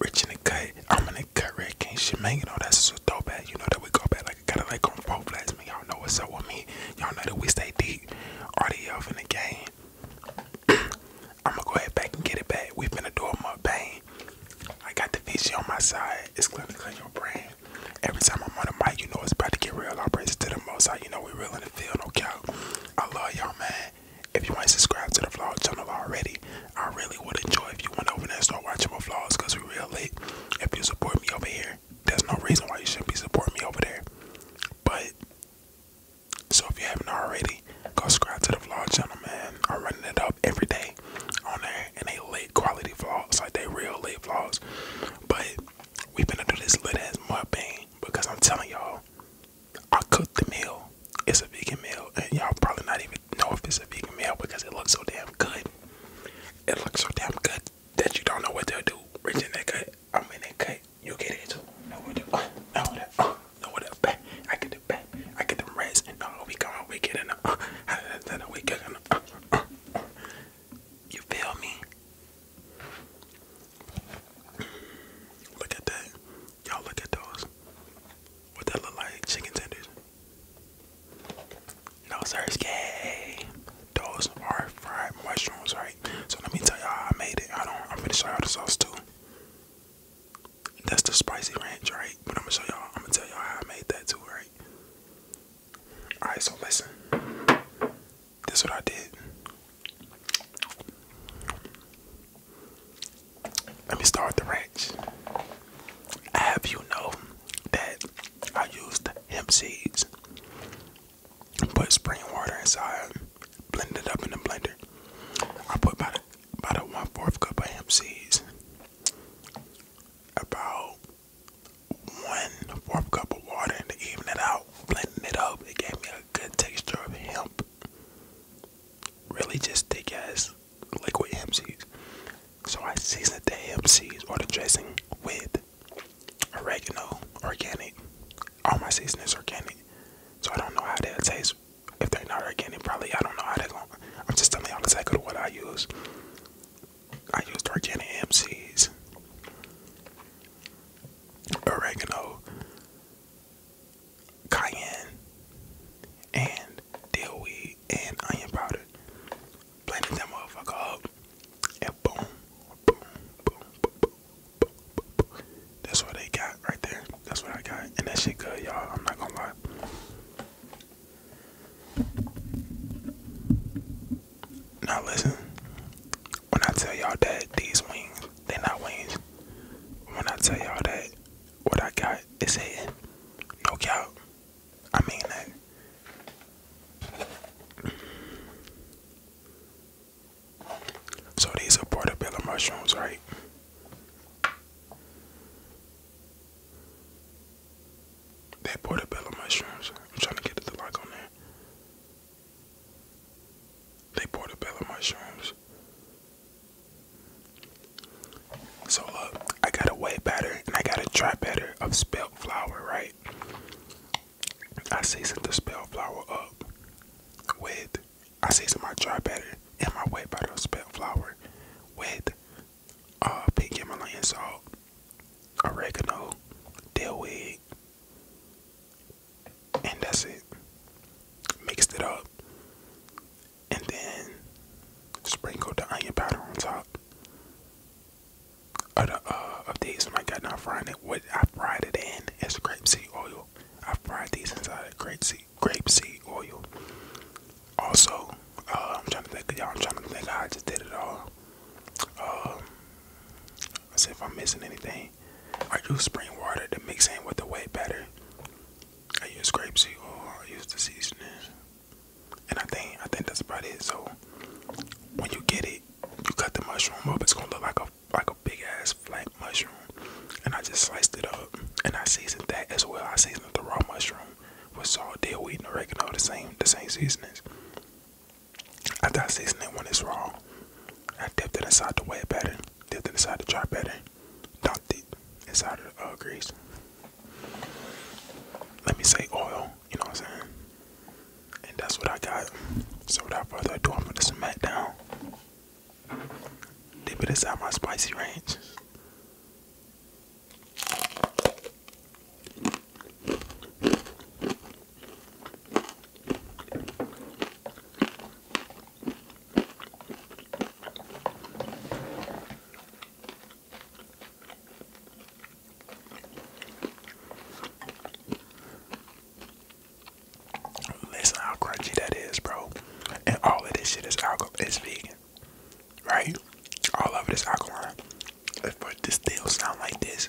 Rich in the cut, I'm in the cut, Rick and Shemang, you know, that's so dope at, you know, that we go back like got a like on both legs. Man, y'all know what's up with me. Y'all know that we stay deep. RDF in the game. I'ma go ahead back and get it back. We've been a door bang. I got the vision on my side. It's gonna clean your brain. Every time I'm on the mic, you know it's about to get real. I praise to the most high. You know we real in the field, no doubt. I love y'all, man. If you ain't subscribed to the vlog channel already, I really would enjoy if you went over there and start watching my vlogs because we're real late. If you support me over here, there's no reason why you shouldn't be supporting me over there. But so if you haven't already, go subscribe to the vlog channel, man. I'm running it up every day on there, and they late quality vlogs, like they real late vlogs. But we been do this lit ass mopping, because I'm telling y'all, I cooked the meal. It's a vegan meal, and y'all probably not even know if it's a vegan meal because it looks so damn good. It looks so damn good that you don't know what to do. I'm in that cut. You get it too. No what uh, no what uh, I get the back, I get the rest. No, we come we get in You feel me? Look at that. Y'all look at those. What that look like? Chicken tenders. No okay. Those are fried mushrooms, right? So let me tell y'all how I made it. I don't I'm gonna show y'all the sauce too. That's the spicy ranch, right? But I'm gonna show y'all I'm gonna tell y'all how I made that too, right? Alright, so listen. This what I did. Let me start the ranch. I have you know that I used hemp seeds, put spring water inside, blended it up in the blender. I put about a, about a one fourth cup of hemp seeds, about one fourth cup of water, and to even it out, blending it up, it gave me a good texture of hemp. Really, just thick as like with So I season the MCs or the dressing with oregano, organic. All my seasoning is organic. So I don't know how that tastes If they're not organic, probably I don't know how they're going I'm just telling y'all exactly what I use. I use organic MCs, oregano, cayenne, and deal weed and onion powder. Blended that motherfucker up, and boom, boom, boom, boom, boom, boom, boom, boom. That's what they got right there. That's what I got, and that shit good, y'all. I'm not gonna lie. Now listen, when I tell y'all that these wings, they're not wings. When I tell y'all that what I got it's hitting. No cap. I mean that. So these are portobello mushrooms, right? That portobello mushrooms. I'm trying to get it lock on there. They portobello mushrooms. So look, I got a way batter and I got a dry batter of spelt flour, right? I seasoned the spelt flour up with I seasoned my dry batter and my wet batter of spelt flour with uh pink Himalayan salt, oregano, dill wig, and that's it. Mixed it up and then sprinkle the onion powder on top of the uh, of these when I got done frying it what I fried it in is grapeseed oil. I fried these inside of grapeseed grapeseed oil. Also, uh, I'm trying to think y'all I'm trying to think how I just did it all. Um uh, see if I'm missing anything. I use spring water to mix in with the whey batter. I use grapeseed oil. I use the seasoning, and I think I think that's about it. So when you get it, you cut the mushroom up. It's gonna look like a like a big ass flat mushroom, and I just sliced it up, and I seasoned that as well. I seasoned the raw mushroom with salt, deal wheat, and oregano. The same the same seasonings. After I season it when it's raw, I dipped it inside the wet batter, dipped it inside the dry batter, dunked it inside of the uh, grease. Let me say oil, you know what I'm saying? And that's what I got. So without further ado, I'm gonna smack down. Dip it inside my spicy ranch. Listen how crunchy that is, bro. And all of this shit is alcohol It's vegan. Right? All of this alkaline. But this still sound like this.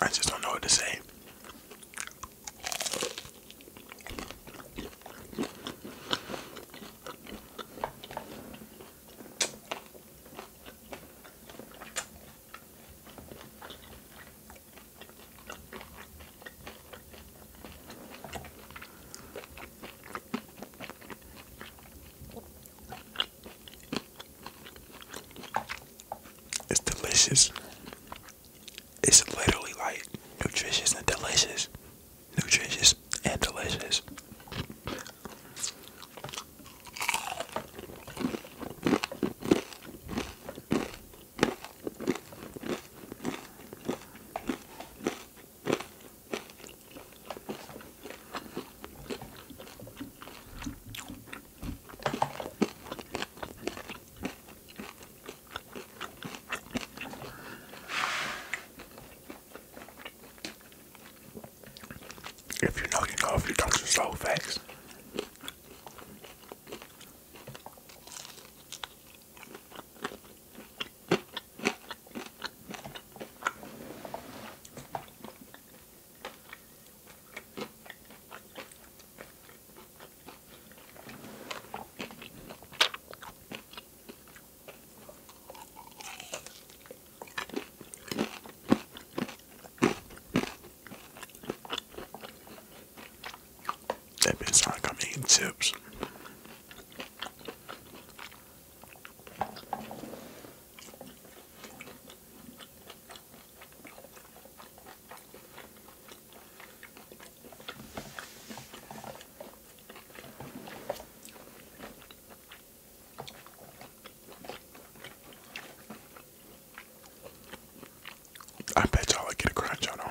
I just don't know what to say. It's delicious. It's literally like nutritious and delicious. Nutritious and delicious. If you know, you know. If you don't, you slow facts. That bitch sounds like I'm eating chips. I bet y'all I get a crunch on them.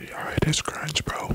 Yeah, it is crunch, bro.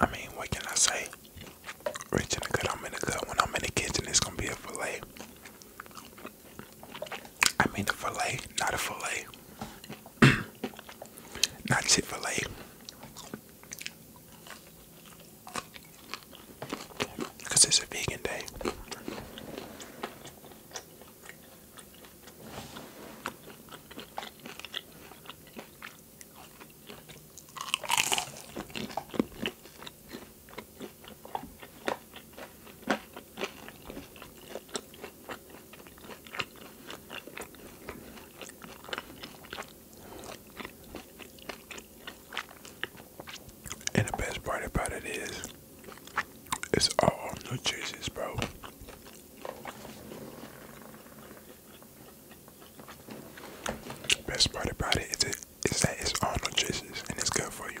I mean, what can I say? Rich and good, I'm in the good. When I'm in the kitchen, it's gonna be a fillet. I mean, a fillet, not a fillet. not Chick fil because it's a vegan day. And the best part about it is, it's all new cheeses, bro. best part about it is, it, is that it's all new and it's good for you.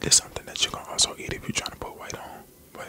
There's something that you can also eat if you're trying to put weight on, but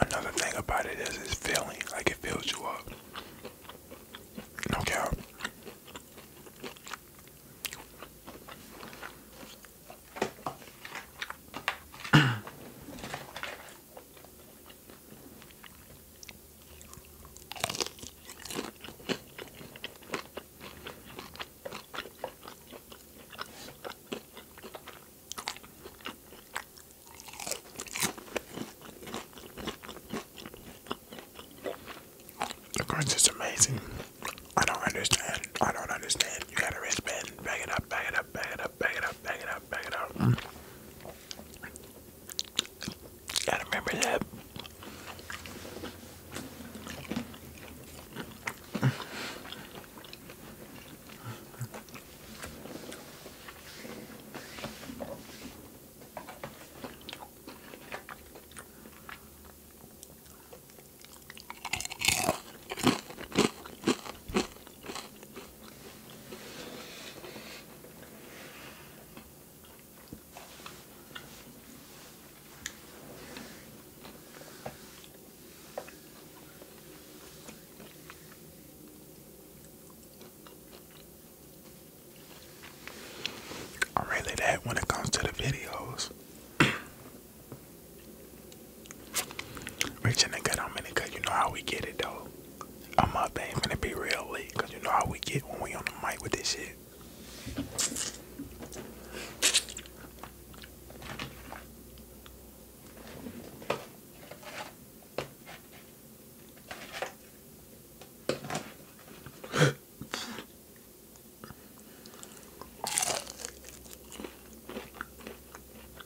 Another thing about it is it's filling, like it fills you up. No cap. The crunch is amazing. I don't understand. I don't understand. You got a wristband. Back it up, back it up, back it up, back it up, back it up, back it up. Gotta remember that. I'm really that when it comes to the videos. Rich in the gut, I'm in the gut. You know how we get it though. I'm up, they Gonna be real late, cause you know how we get when we on the mic with this shit.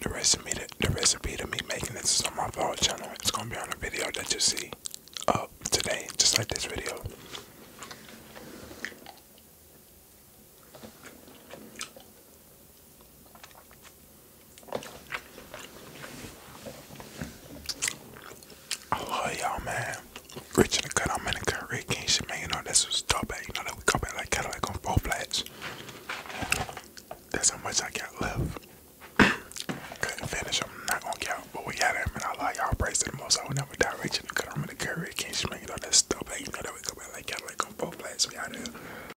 The recipe, to, the recipe to me making this is on my vlog channel. It's gonna be on a video that you see today, just like this video. I love y'all, man. Rich in the cut, I'm in the cut, Rick King shit, man. You this that's what's eh? You know, that we come back like Cadillac on both flats. That's how much I got left. Couldn't finish, I'm not gonna count, but we had him, and I love y'all. Praise to the most. I would never die. Rich in the cut, I'm in the cut, Rick King shit, man. You know, that's top eh? You know, that we come back like Cadillac on both flats. We out here.